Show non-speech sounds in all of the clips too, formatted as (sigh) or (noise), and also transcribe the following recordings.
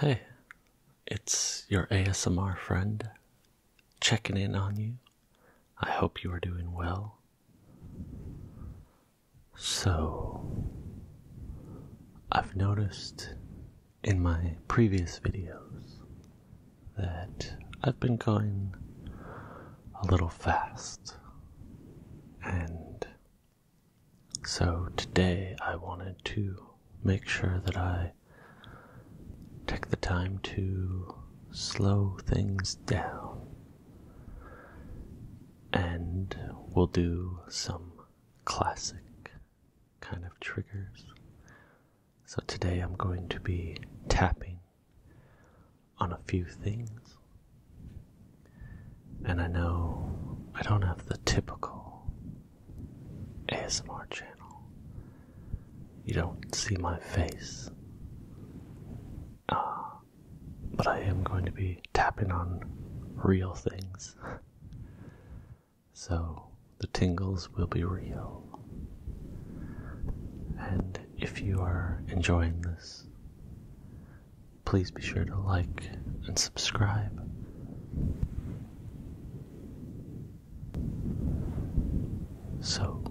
Hey, it's your ASMR friend checking in on you. I hope you are doing well. So, I've noticed in my previous videos that I've been going a little fast and so today I wanted to make sure that I take the time to slow things down. And we'll do some classic kind of triggers. So today I'm going to be tapping on a few things. And I know I don't have the typical ASMR channel. You don't see my face. Uh, but I am going to be tapping on real things. so the tingles will be real. And if you are enjoying this, please be sure to like and subscribe. So,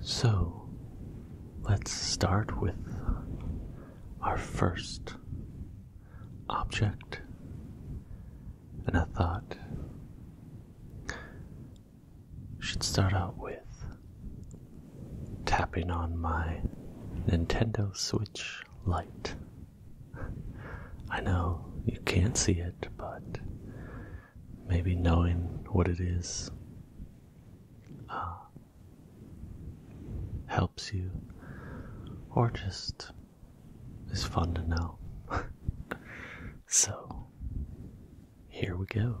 so let's start with our first object and a thought should start out with tapping on my Nintendo Switch light. I know you can't see it, but maybe knowing what it is uh, helps you, or just is fun to know. (laughs) so, here we go.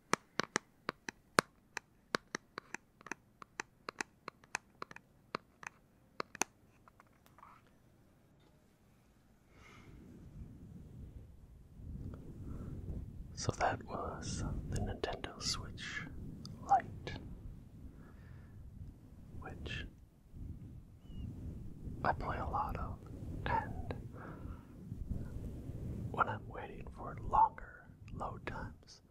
So that was the Nintendo Switch Lite, which I play a lot of, and when I'm waiting for longer load times,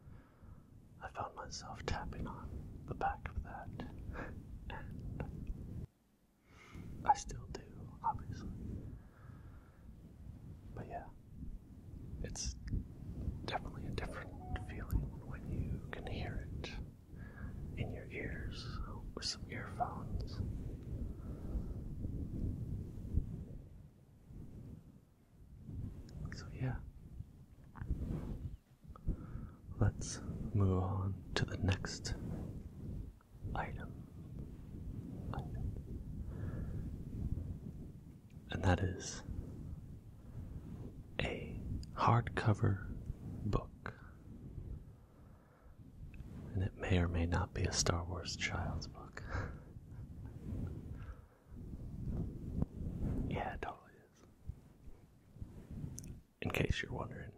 I found myself tapping on the back of that, and I still do, obviously. But yeah, it's definitely a different feeling when you can hear it in your ears with some earphones. So, yeah, let's move on to the next item. And that is a hardcover book and it may or may not be a Star Wars child's book. (laughs) yeah, it totally is. In case you're wondering,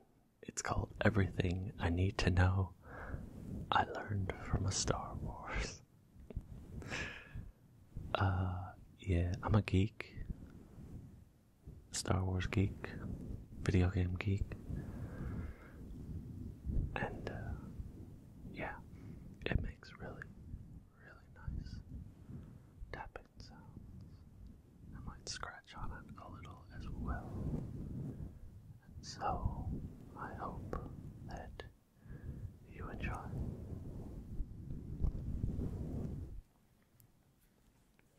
it's called Everything I Need to Know I Learned from a Star Wars. (laughs) uh, yeah, I'm a geek. Star Wars geek, video game geek. And uh, yeah, it makes really, really nice tapping sounds. I might scratch on it a little as well. And so I hope that you enjoy.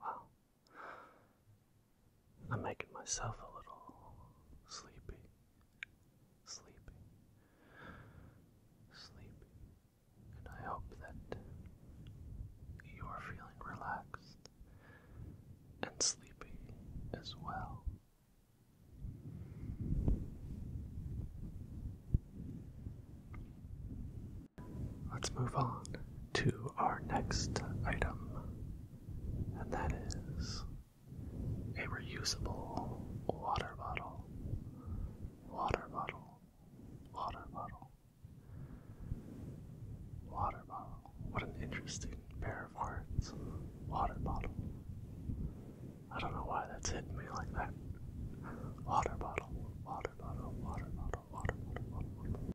Wow. I'm making myself a little sleepy. Sleepy. Sleepy. And I hope that you are feeling relaxed and sleepy as well. Let's move on to our next item, and that is a reusable water bottle. Water bottle, water bottle. Water bottle. What an interesting pair of words. Water bottle. I don't know why that's hitting me like that. Water bottle, water bottle, water bottle, water bottle, water bottle.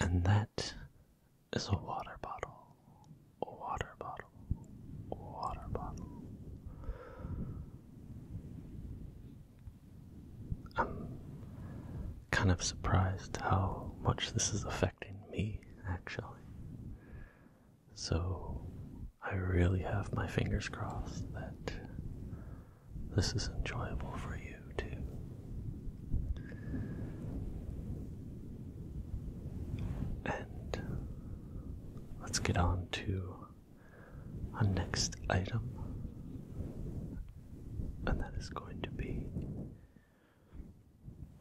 And that is a water bottle. A water bottle. water bottle. I'm kind of surprised how much this is affecting me, actually. So I really have my fingers crossed that this is enjoyable for you too. And let's get on to our next item, and that is going to be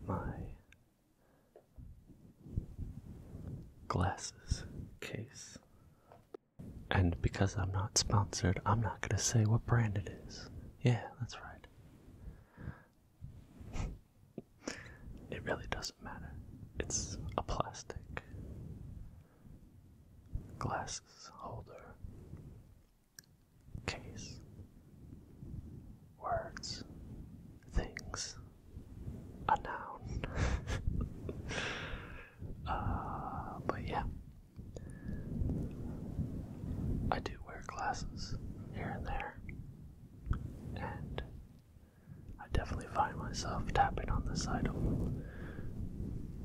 my glasses case. And because I'm not sponsored, I'm not going to say what brand it is. Yeah, that's right it really doesn't matter. It's a plastic glasses holder, case, words, things, a noun. (laughs) uh, but yeah, I do wear glasses here and there. And I definitely find myself tapping on this item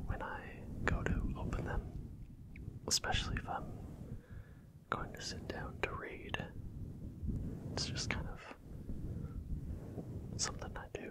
when I go to open them, especially if I'm going to sit down to read. It's just kind of something I do.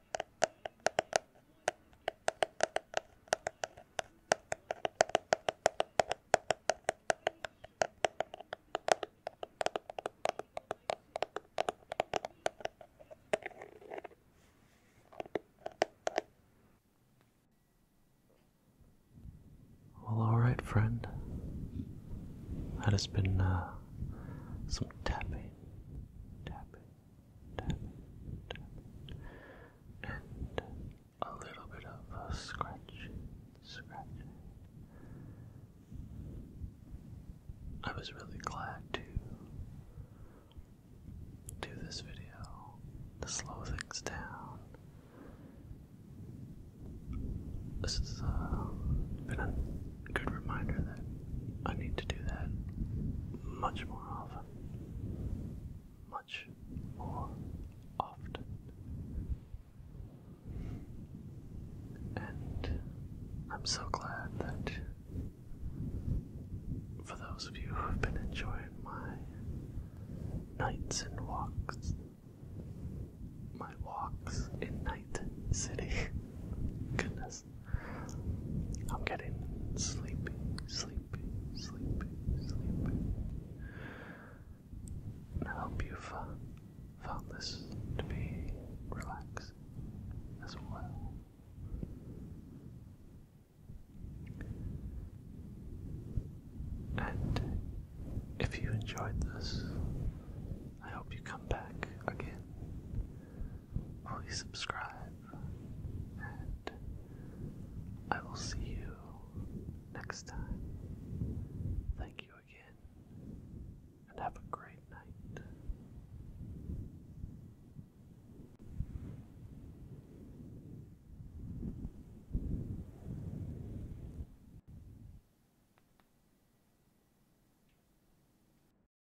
Well, alright, friend. That has been uh, some tapping. Tapping and a little bit of a scratching, I was really glad to do this video to slow things down. This has uh, been a good reminder that I need to do that much more often much more often. And I'm so glad that for those of you who have been enjoying my nights and walks, my walks in Night City, (laughs) goodness. I'm getting sleepy, sleepy, sleepy, sleepy. I hope you've uh, found this to be relaxing as well. And if you enjoyed this, I hope you come back again. Please subscribe and I will see you next time. Thank you again, and have a great night.